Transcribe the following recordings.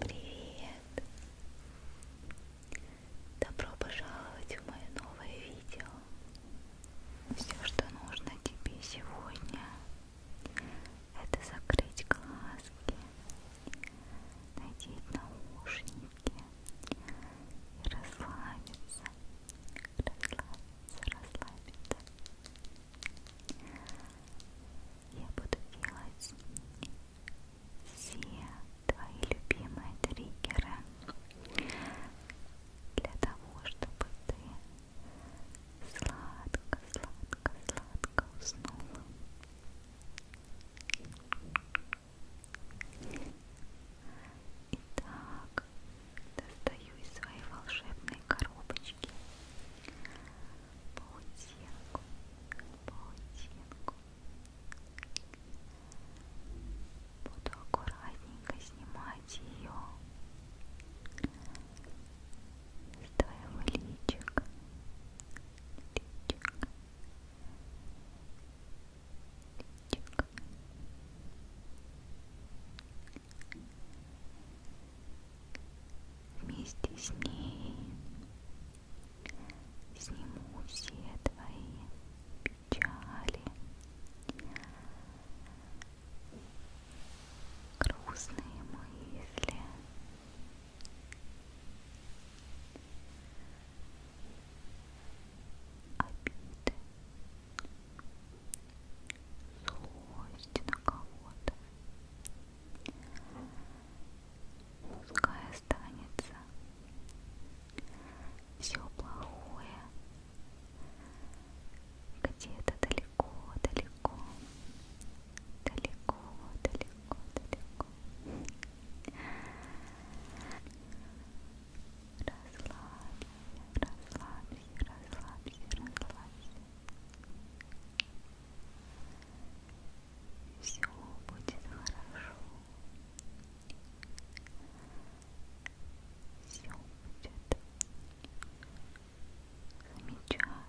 Привет! Добро пожаловать в мое новое видео. Все, что нужно тебе сегодня, это закрыть глазки, надеть наушники и расслабиться. Расслабиться, расслабиться. Я буду делать все твои любимые триггеры для того, чтобы ты сладко, сладко, сладко уснула. Итак, Достаю из своей волшебной коробочки паутинку, паутинку. Буду аккуратненько снимать ее с твоего личика. личика. Личик вместе с ней сниму все твои печали, грустные мысли. Обиды, злость на кого-то. Пускай останется все плохое где-то далеко, далеко, далеко, далеко, далеко. Расслабься, расслабься, расслабься, расслабься. Все будет хорошо. Все будет замечательно.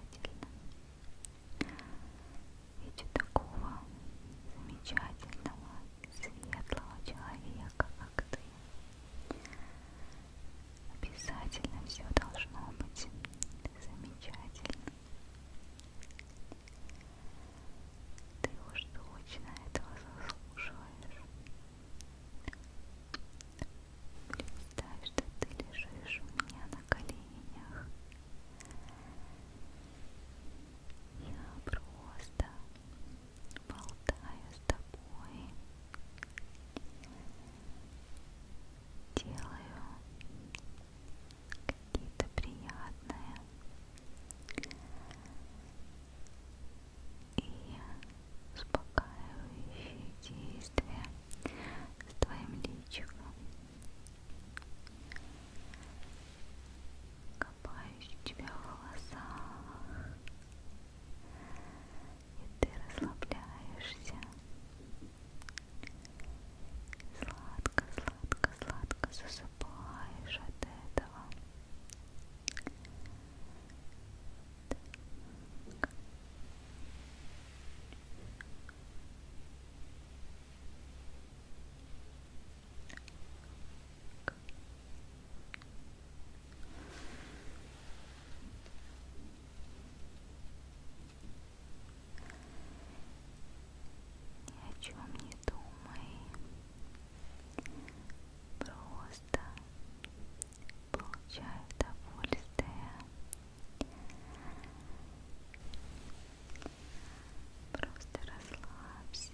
Ведь у такого замечательного, светлого человека, как ты, Обязательно все должно быть замечательно. Ты уж точно этого заслуживаешь. Представь, что ты лежишь у меня на коленях. Я просто болтаю с тобой делаю какие-то приятные и успокаивающие действия с твоим личиком копаюсь у тебя в волосах и ты расслабляешься. Сладко, сладко, сладко засыпаешь от этого. Так. Так. Ни о чем не думай. Просто получай удовольствие. Просто расслабься.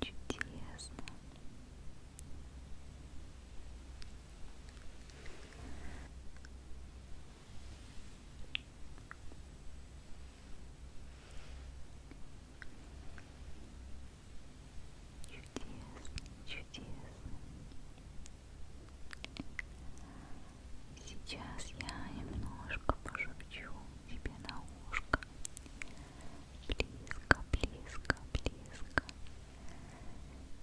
Чудесно. Чудесно, чудесно. Сейчас я немножко пошепчу тебе на ушко. Близко, близко, близко.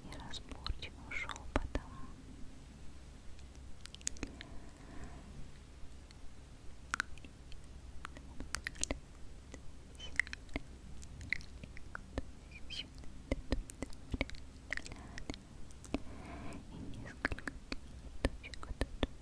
И разборчивым шепотом. И несколько точек, точек,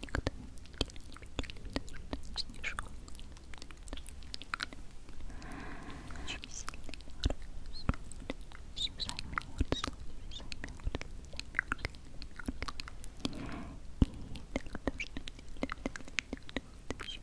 никто не снежок очень сильный мороз все замерзло, все замерзло, замерзло и так должно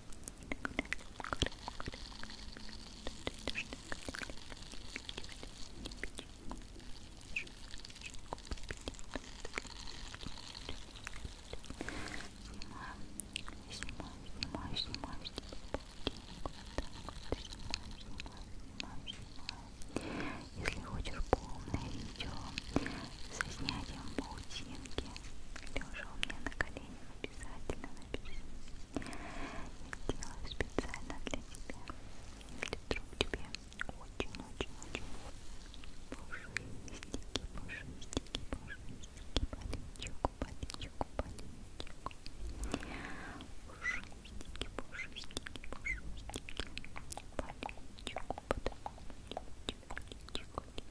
снимаю, снимаю, снимаю, снимаю. Если хочешь полное видео со снятием паутинки. Лежа у меня на коленях обязательно напиши. Я делаю специально для тебя. Если вдруг тебе очень-очень-очень пушистики, пушистики, пушистики, поличок, поличок, поличок. Пушистики, пушистики, пушистики, поличок, потом поличок, поличок, поличок.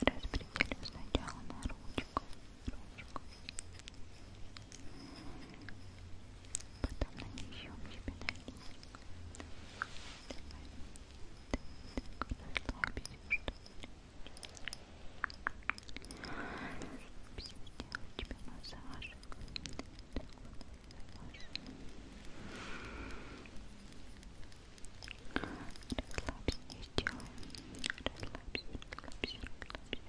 Распределю сначала на ручку, ручку. Потом нанесем себе на линию. Давай. Так, расслабься, что ли. Сделаю тебе массажик. Так вот, массаж. Расслабься, не сделай. Расслабься, расслабься, Расслабься,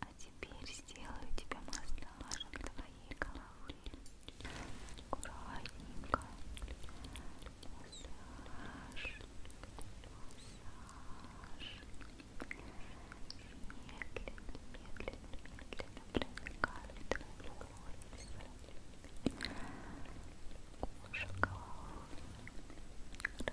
А теперь сделаю тебя массажем. Давай своей головой аккуратненько массаж массаж медленно, медленно, медленно проникает твою кожу кожа головы расслабляется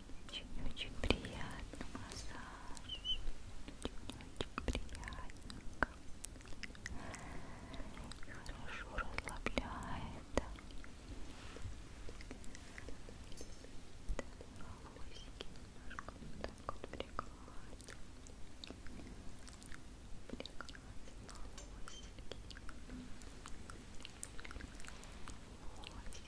Очень-очень приятный массаж. Очень-очень приятненько. Хорошо расслабляет. Волосики немножко вот так вот прикладывать. Прикладывать волосики. Волосики.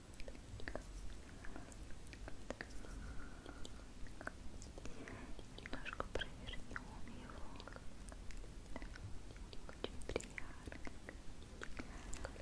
Немножко провернем его. Очень приятно. Хорошо.